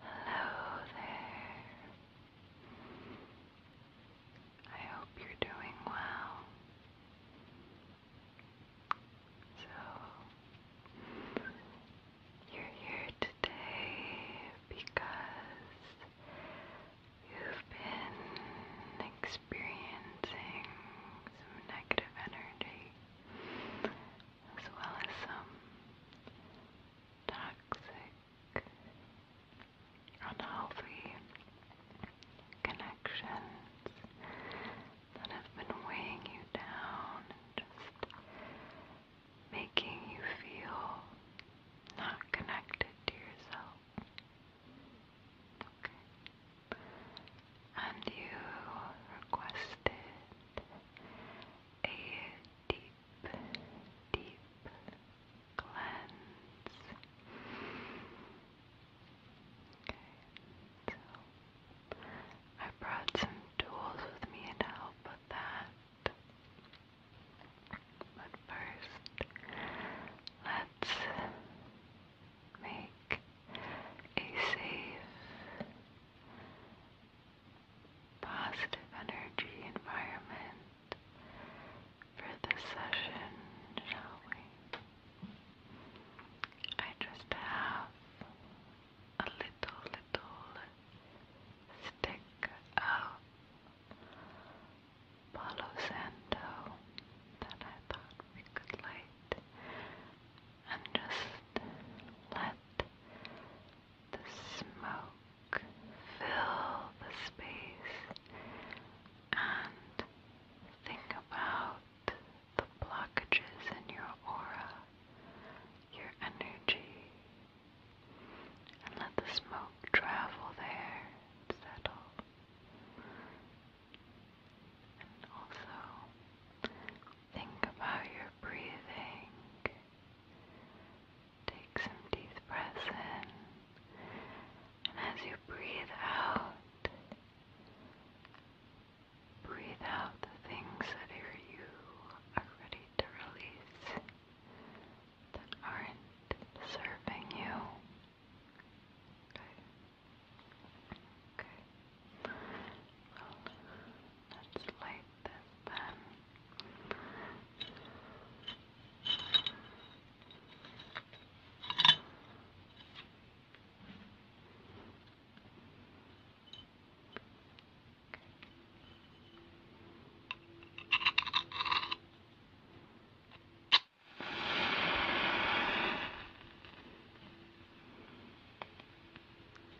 Hello there. I hope you're doing well. So, you're here today because you've been experiencing some negative energy as well as some toxic, unhealthy connections that have been weighing you down just making you feel not connected to yourself. Okay. And you requested a deep, deep cleanse. I brought some tools with me to help with that. But first, let's make a safe positive energy environment for this session, shall we? I just have a little, little stick of Palo Santo that I thought we could light and just let the smoke fill the space and think about the blockages in your aura, your energy, and let the smoke travel there settle. And also Think about your breathing. Take some deep breaths in, and as you breathe out, breathe out the things that you are ready to release that aren't serving you. Okay. Okay. Let's light this then.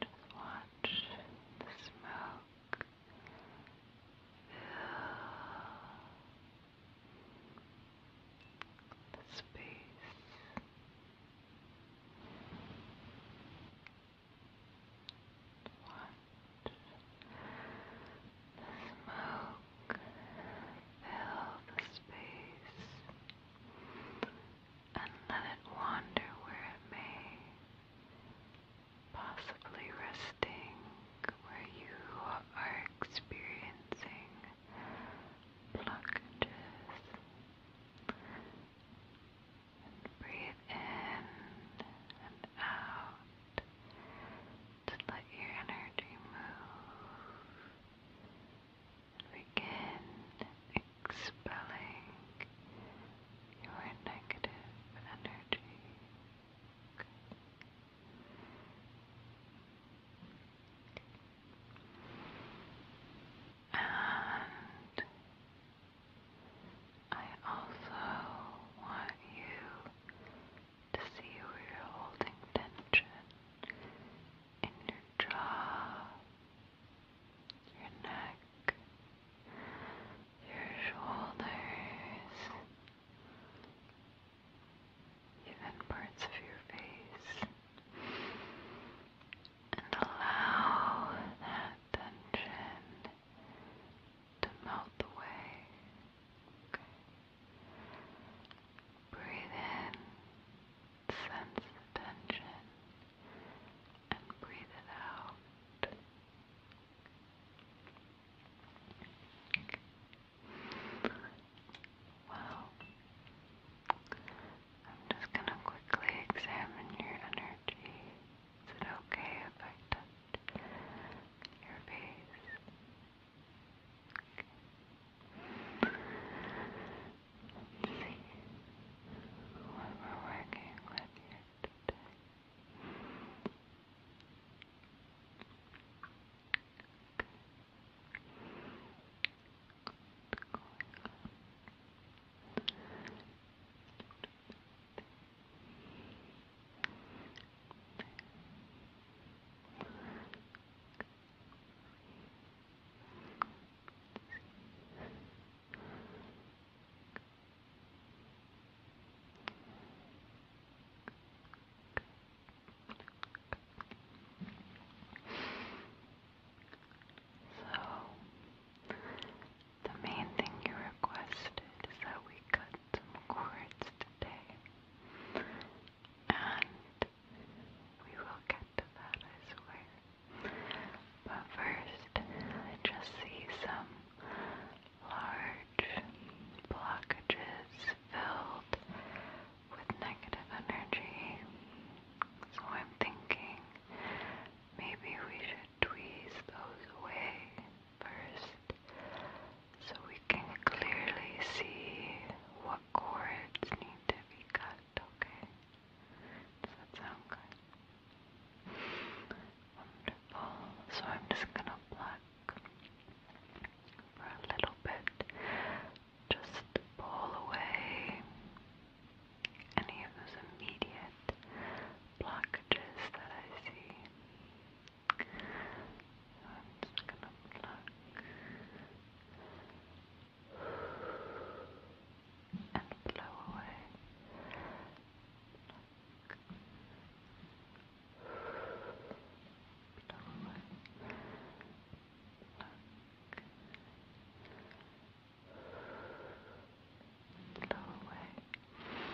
Just watch the smoke fill the space. Watch the smoke fill the space and let it wander where it may, possibly resting where you are experiencing blockages. And breathe in and out to let your energy move Begin expelling your negative energy. And I also want you to see where you're holding tension in your jaw, your neck, your shoulders, even parts of your face, and allow that tension to melt away. Breathe in sense of tension and breathe it out. Well, I'm just going to quickly examine your energy. Is it okay if I touch your face? see what we're working with here today. Okay. So, the main thing you requested is that we cut some cords today, and we will get to that, I swear. But first, I just see some large blockages filled with negative energy. So I'm thinking maybe we should tweeze those away first so we can clearly see what cords need to be cut, okay? Does that sound good? So I'm just gonna pluck for a little bit. Just pull away any of those immediate blockages that I see. I'm just gonna pluck and blow away. Look. Blow away. Look. Blow away. Look. Blow away.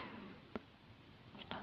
Look.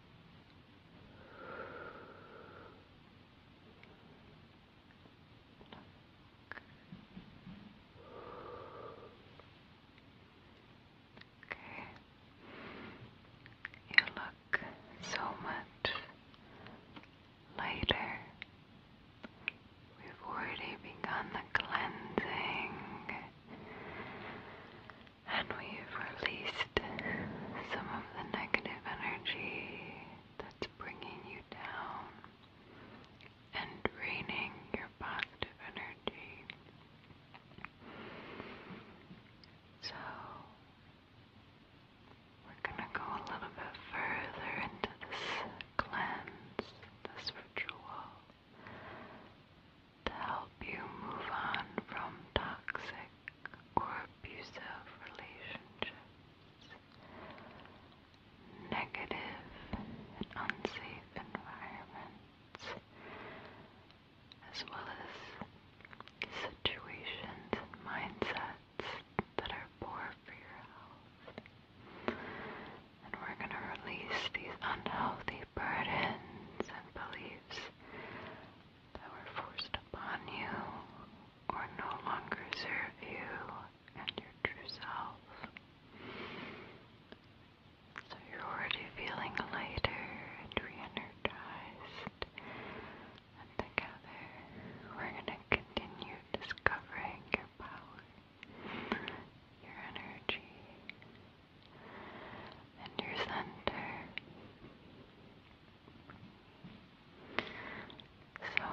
Okay. You look so much lighter. We've already begun the cleansing and we've released some of the negative energy that's bringing you down and draining your of energy. So, we're going to go a little bit further into this cleanse, this ritual to help you move on from toxic or abusive relationships, negative and unsafe environments, as well as situations and mindsets that are poor for your health. And we're going to release these unhealthy burdens and beliefs that were forced upon you or no longer serve you and your true self. So you're already feeling lighter and re And together we're going to continue discovering your power, your energy, and your center. So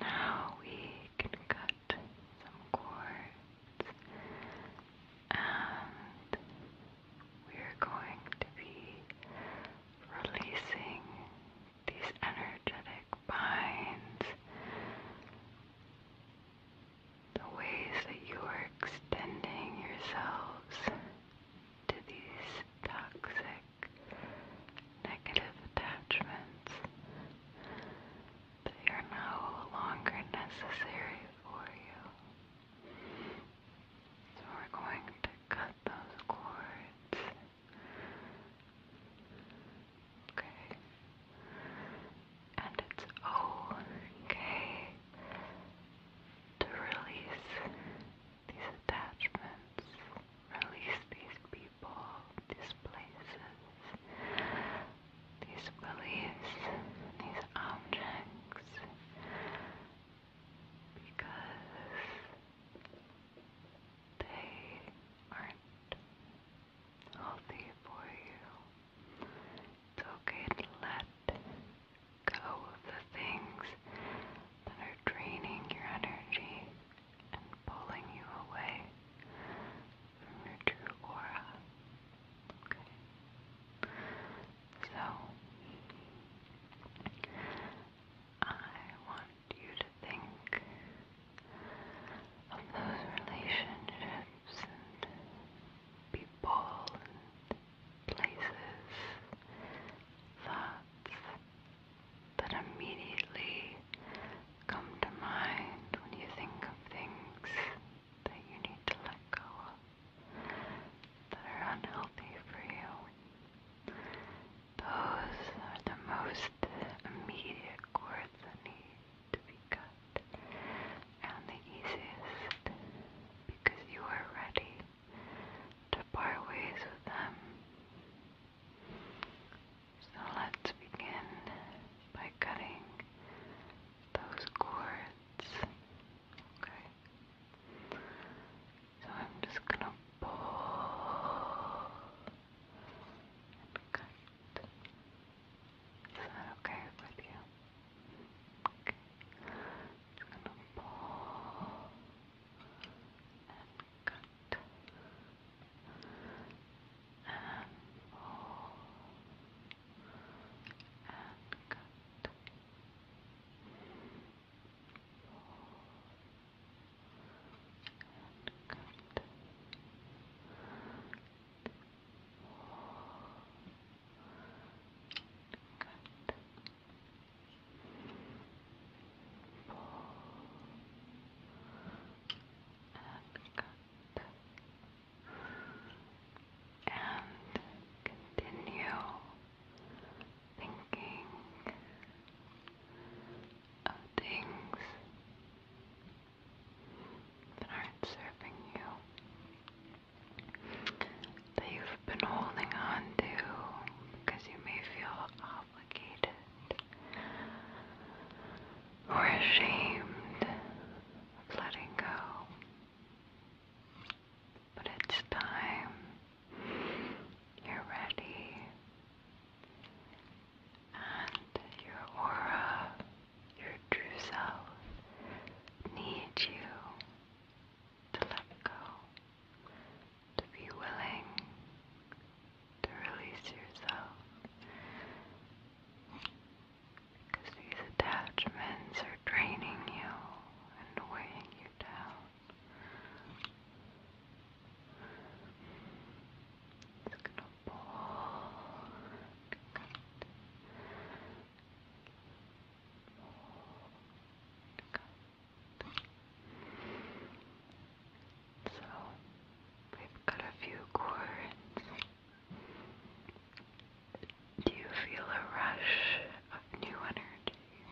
now we can cut some cords and we're going to be releasing these energetic binds the ways that you are extending yourselves to these toxic negative attachments that are no longer necessary for you. So we're going to cut those cords okay? And it's okay to release these attachments, release these people, these places, these beliefs, these objects, because they aren't healthy for you. It's okay let go of the things that are draining your energy and pulling you away from your true aura. So, I want you to think of those relationships and people and places, thoughts that immediately come to mind when you think of things that you need to let go of, that are unhealthy for you. Those are the most immediate chords I need to be cut and the easiest because you are ready to part ways with them. So let's begin by cutting those cords. Okay. So I'm just gonna pull and cut. Is that okay with you? Okay. Just gonna pull and cut and Pull and cut. Pull and cut. Good. Pull and cut. And continue thinking of things that aren't serving you, that you've been holding on to because you may feel obligated or ashamed of letting go. But it's time you're ready and your aura, your true self, need you to let go, to be willing to release yourself. Because these attachments are draining you and weighing you down. It's going Pork So we've got a few chords. Do you feel a rush of new energy,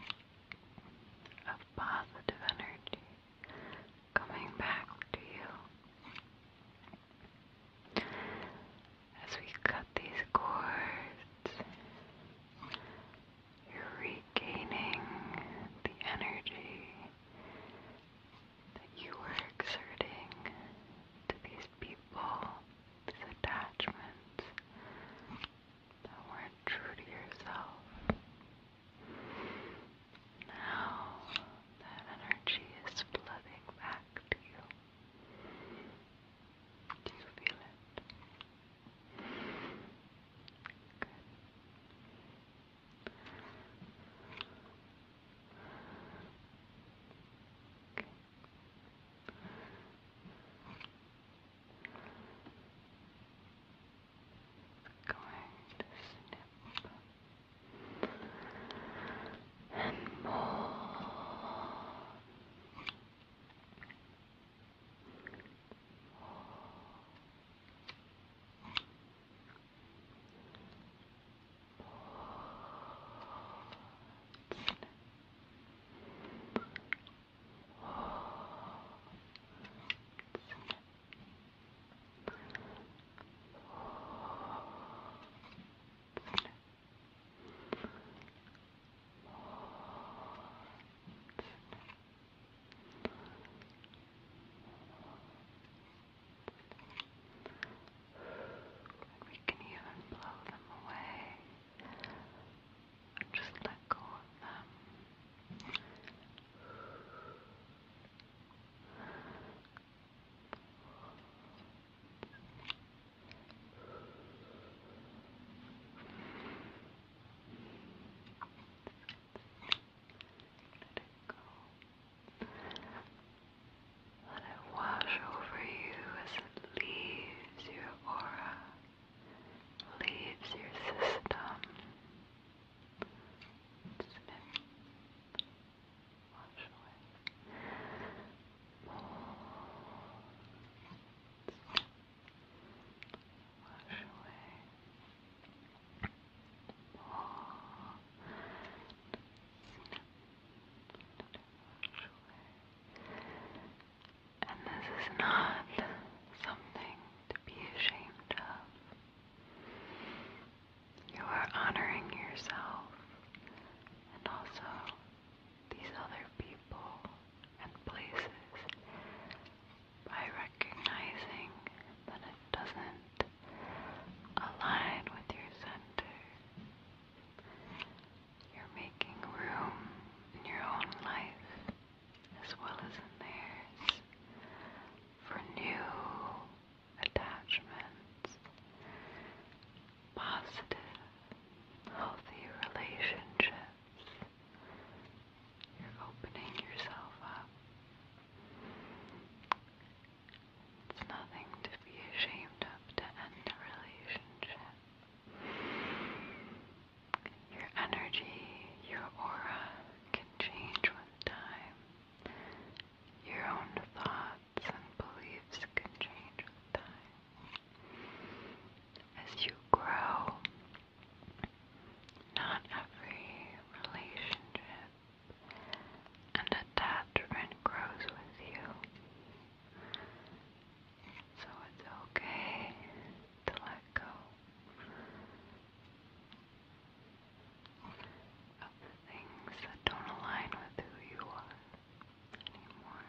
of positive energy coming back to you? As we cut these cords, you're regaining the energy that you were exerting to these people, these attachments that weren't true to yourself. Now that energy is flooding back to you. Do you feel it? Good. Okay. Going to snip and more. More. More. We can even blow them away and just let go of them go. Let it wash over you as it leaves your aura, leaves your system. And this is not something to be ashamed of. You are honoring yourself and also these other people and places by recognizing that it doesn't align with your center. You're making room in your own life as well as in theirs for new attachments, positive, healthy relationships. You're opening yourself up. It's nothing to be ashamed of to end a relationship. Your energy, your aura can change with time. Your own thoughts and beliefs can change with time. As you grow, not every relationship and attachment grows with you. So it's okay to let go of things that don't align with who you are anymore.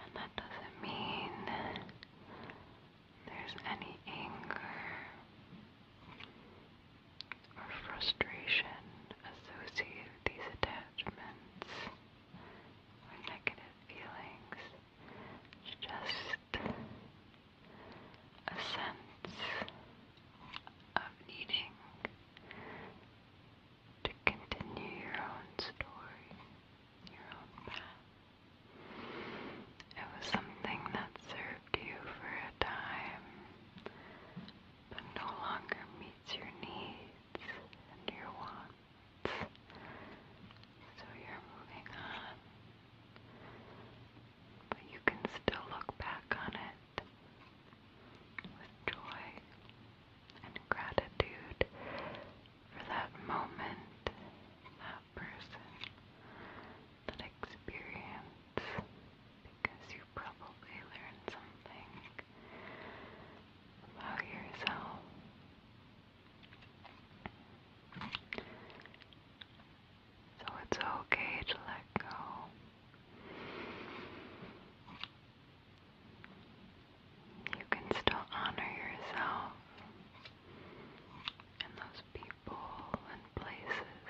And that doesn't mean there's any anger or frustration associated with these attachments or negative feelings. Just a sense of needing to continue your own story, your own path. It was something that served you for a time, but no longer meets your needs and your wants. So you're moving on but you can still look back on it with joy and gratitude for that moment, that person, that experience, because you probably learned something about yourself. So it's okay to let go. You can still honor yourself and those people and places.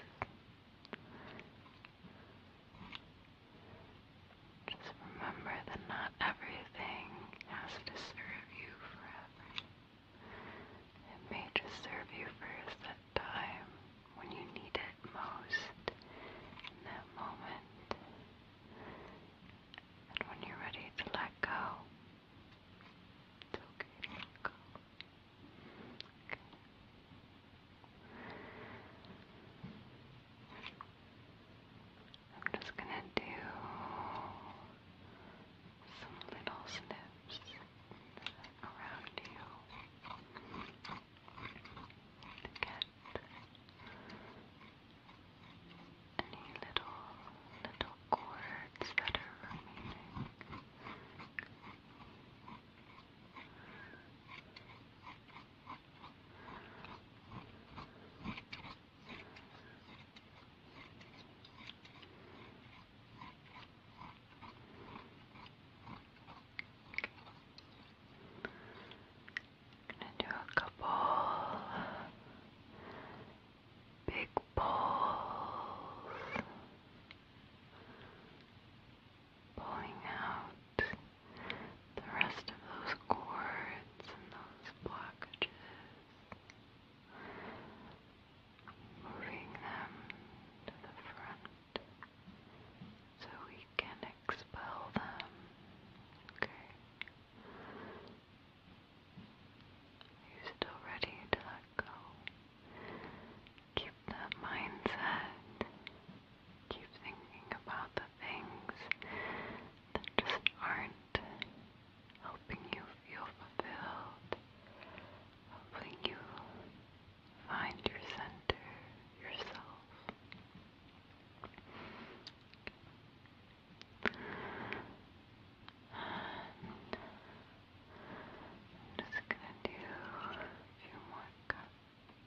Just remember that not everything has to serve you forever. It may just serve you first that time when you need it most in that moment. And when you're ready to let go, it's Okay. I'm just gonna do some little snips around you to get any little, little cords that are remaining. Gonna do a couple big pulls, pulling out the rest of those cords and those blockages moving them to the front so we can expel them. Okay. you still ready to let go. Keep that mindset. Keep thinking about the things that just aren't helping you feel fulfilled, helping you find your center, yourself. I'm just gonna do a few more cuts.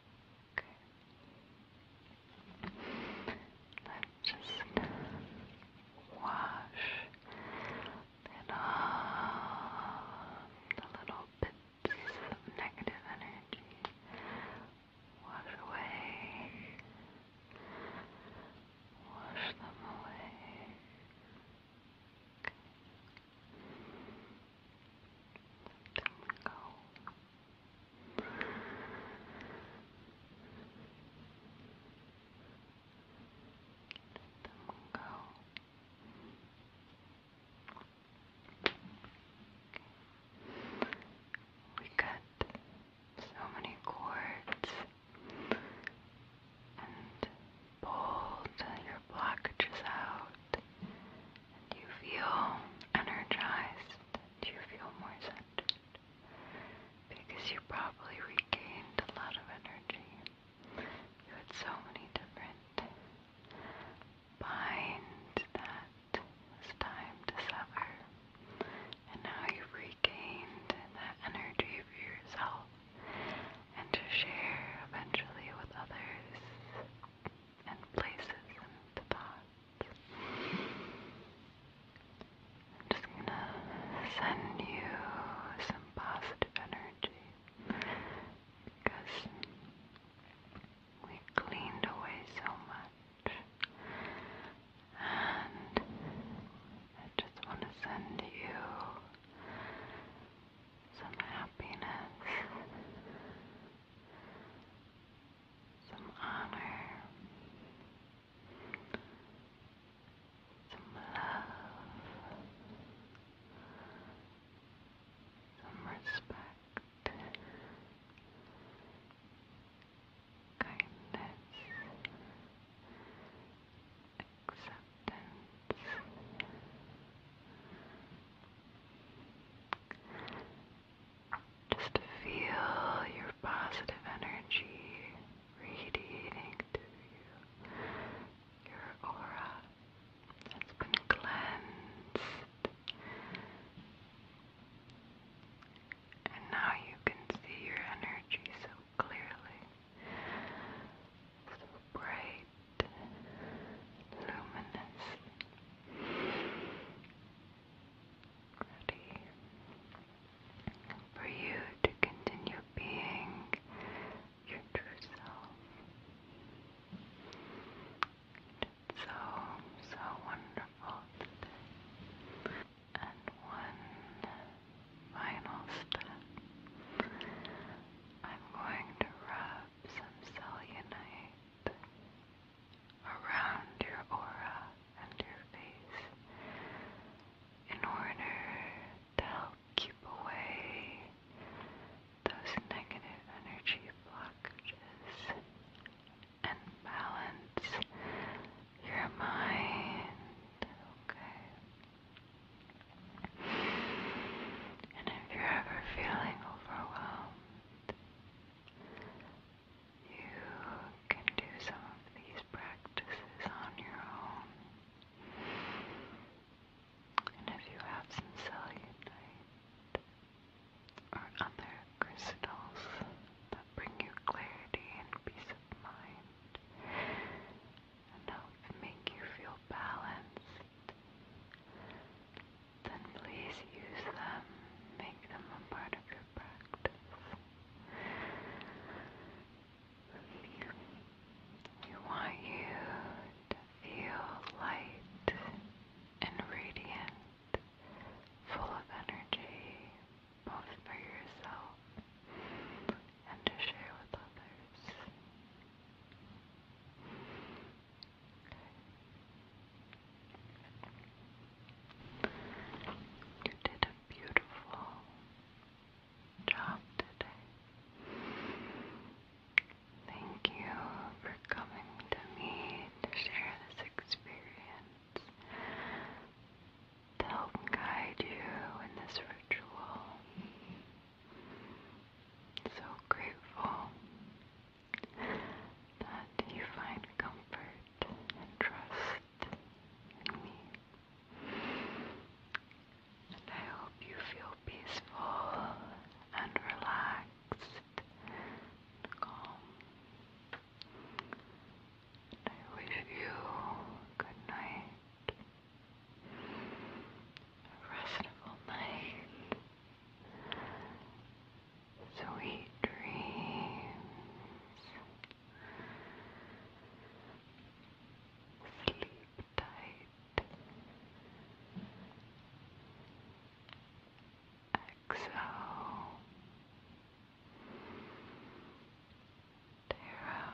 Let's just wash it off the little bits of negative energy. Wash away. Wash them away. There we go. There we go. We cut so many cords and pulled your blockages out you feel energized? you feel more centered? Because you probably regained a lot of energy. You had so many different binds that was time to sever. And now you've regained that energy for yourself and to share eventually with others and places and thoughts. I'm just gonna send you some positive energy because we cleaned away so much. And I just want to send you some happiness, some honor, some love, some respect, kindness, acceptance. Just feel your positive energy radiating through you. Your aura has been cleansed. And now you can see your energy so clearly bright, luminous. Ready for you to continue being your true self. so, so wonderful And one final step. I'm going to rub some cellulite around your aura and your face in order to help keep away those negative energy blockages and balance your mind, okay? And if you're ever feeling overwhelmed, you can do some of these practices on your own. And if you have some cellulite or other crystals that bring you clarity and peace of mind and help make you feel balanced, then please use them, make them a part of your practice. We want you to feel light and radiant, full of energy, both for yourself and to share with others. You did a beautiful job today. Thank you for coming to me to share this experience, to help guide you in this ritual. So grateful that you find comfort and trust in me. And I hope you feel peaceful and relaxed and calm. And I wish you good night restful night, sweet dreams, sleep tight, exhale. Tara